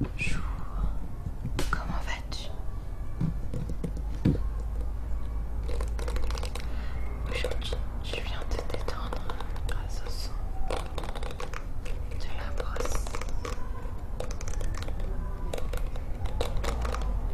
Bonjour, comment vas-tu Aujourd'hui, je viens te détendre grâce au son de la brosse.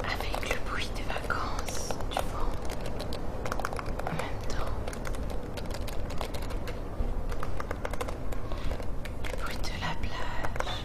Avec le bruit des vacances, tu vois, en même temps, Bruit de la plage.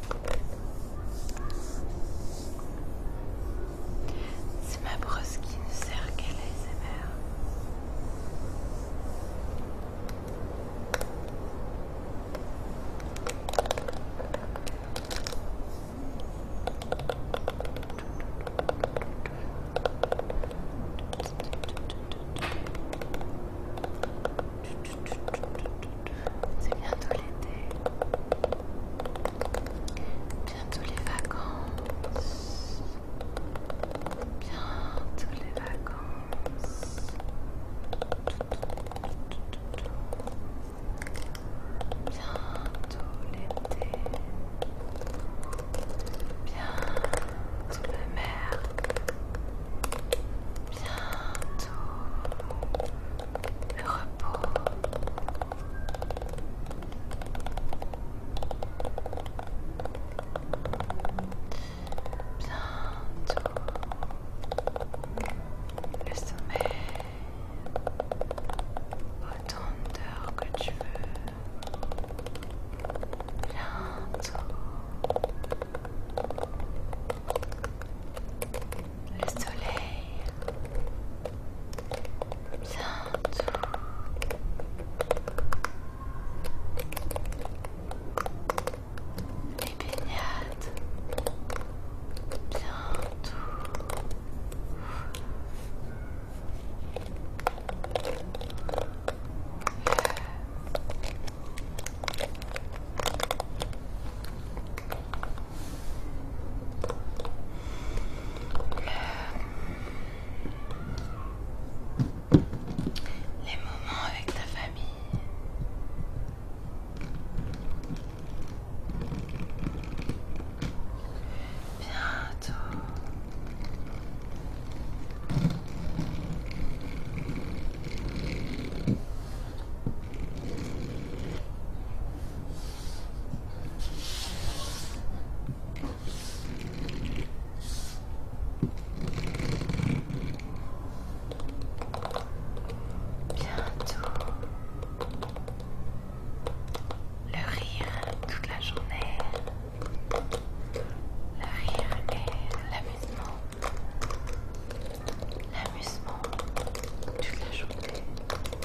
C'est ma brosse qui ne sert qu'à l'ASMR. C'est bientôt l'été, bientôt les vacances, bientôt les vacances, bientôt l'été, bientôt la mer, bientôt le repos. Bientôt le sommeil. Autant d'heures que tu veux. Bientôt le soleil bientôt. Les baignades bientôt. Le les moments avec ta famille. Bientôt. Bientôt le rire toute la journée, le rire et l'amusement, l'amusement toute la journée.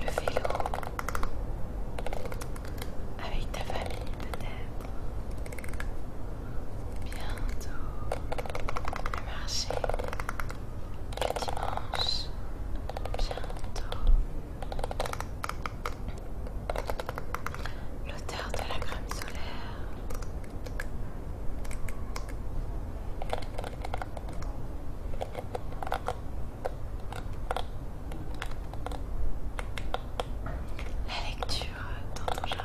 le vélo, avec ta famille peut-être, bientôt le marché, le dimanche, bientôt l'odeur de la crème solaire. La lecture dans ton jardin.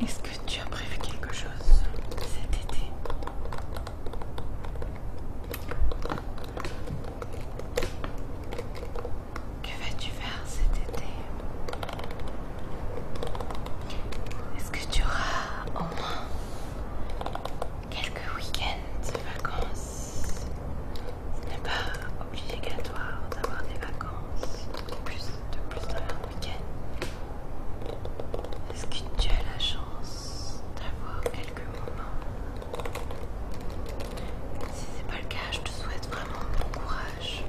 Est-ce que tu as prévu quelque chose cet été Que vas-tu faire cet été Est-ce que tu auras au moins quelques week-ends de vacances Ce n'est pas obligatoire d'avoir des vacances, de plus, de plus de week-end. Est-ce que tu as la chance d'avoir quelques moments Si c'est pas le cas, je te souhaite vraiment bon courage.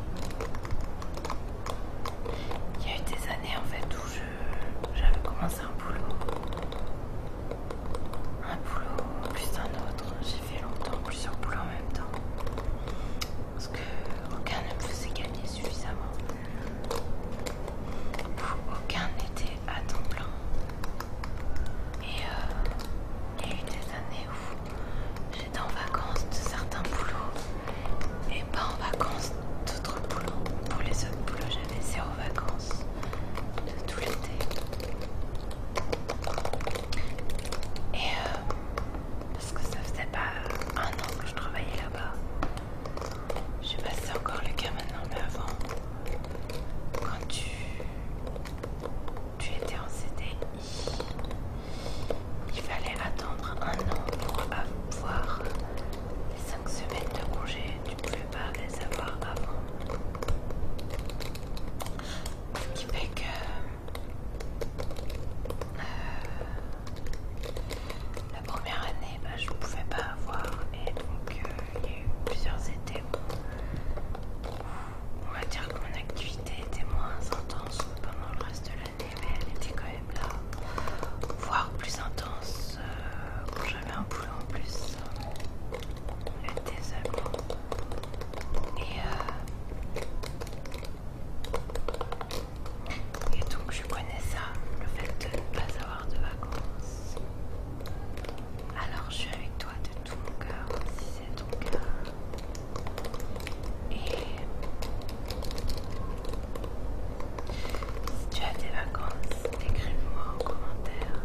Il y a eu des années en fait où j'avais commencé un boulot. Un boulot plus un autre. J'ai fait longtemps plusieurs boulots en même temps parce que aucun ne me faisait gagner suffisamment. Aucun n'était à temps plein. Et euh, il y a eu des années où j'étais en vacances de certains boulots et pas en vacances d'autres boulots. Pour les autres boulots, j'avais zéro vacances de tout l'été. Et euh, parce que ça faisait pas euh, un an que je travaillais là-bas. Je sais pas si c'est encore le cas maintenant, mais avant, quand tu, tu étais en CDI, il fallait attendre un an pour avoir les cinq semaines de congé. Tu ne pouvais pas les avoir avant. Ce qui fait que euh, la première année, bah, je ne pouvais pas avoir et donc euh, il y a eu plusieurs étés où on va dire que mon activité était moins intense pendant le reste de l'année, mais elle était quand même là, voire plus intense euh, quand j'avais un boulot en plus. Était seulement. Et et donc je connais ça, le fait de ne pas avoir de vacances. Alors je suis avec toi de tout mon cœur, si c'est ton cas. Et si tu as des vacances, écrivez moi en commentaire.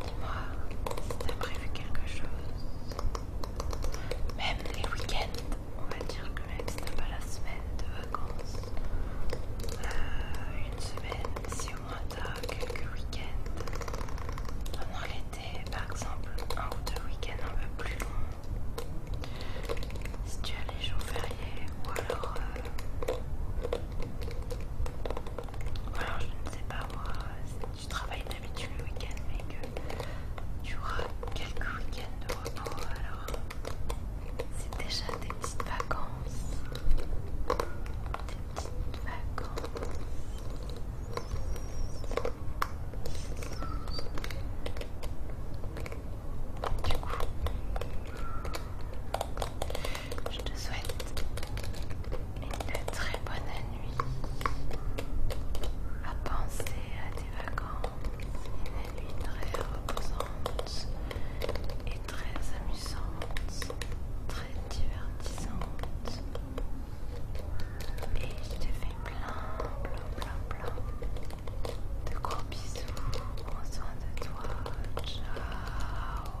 Dis-moi si t'as prévu quelque chose. Même les week-ends, on va dire que même si t'as pas la semaine de vacances, euh, une semaine, si au moins t'as quelques week-ends, pendant l'été par exemple, un ou deux week-ends un peu plus longs, si tu as les jours fériés ou alors. Euh, alors je ne sais pas moi, tu travailles d'habitude le week-end mais que tu auras quelques week-ends de repos alors c'est déjà des petites vacances des petites vacances du coup je te souhaite une très bonne année à penser à tes vacances, une nuit très reposante et très amusante, très divertissante. Et je te fais plein, plein, plein, plein de gros bisous. Prends soin de toi. Ciao.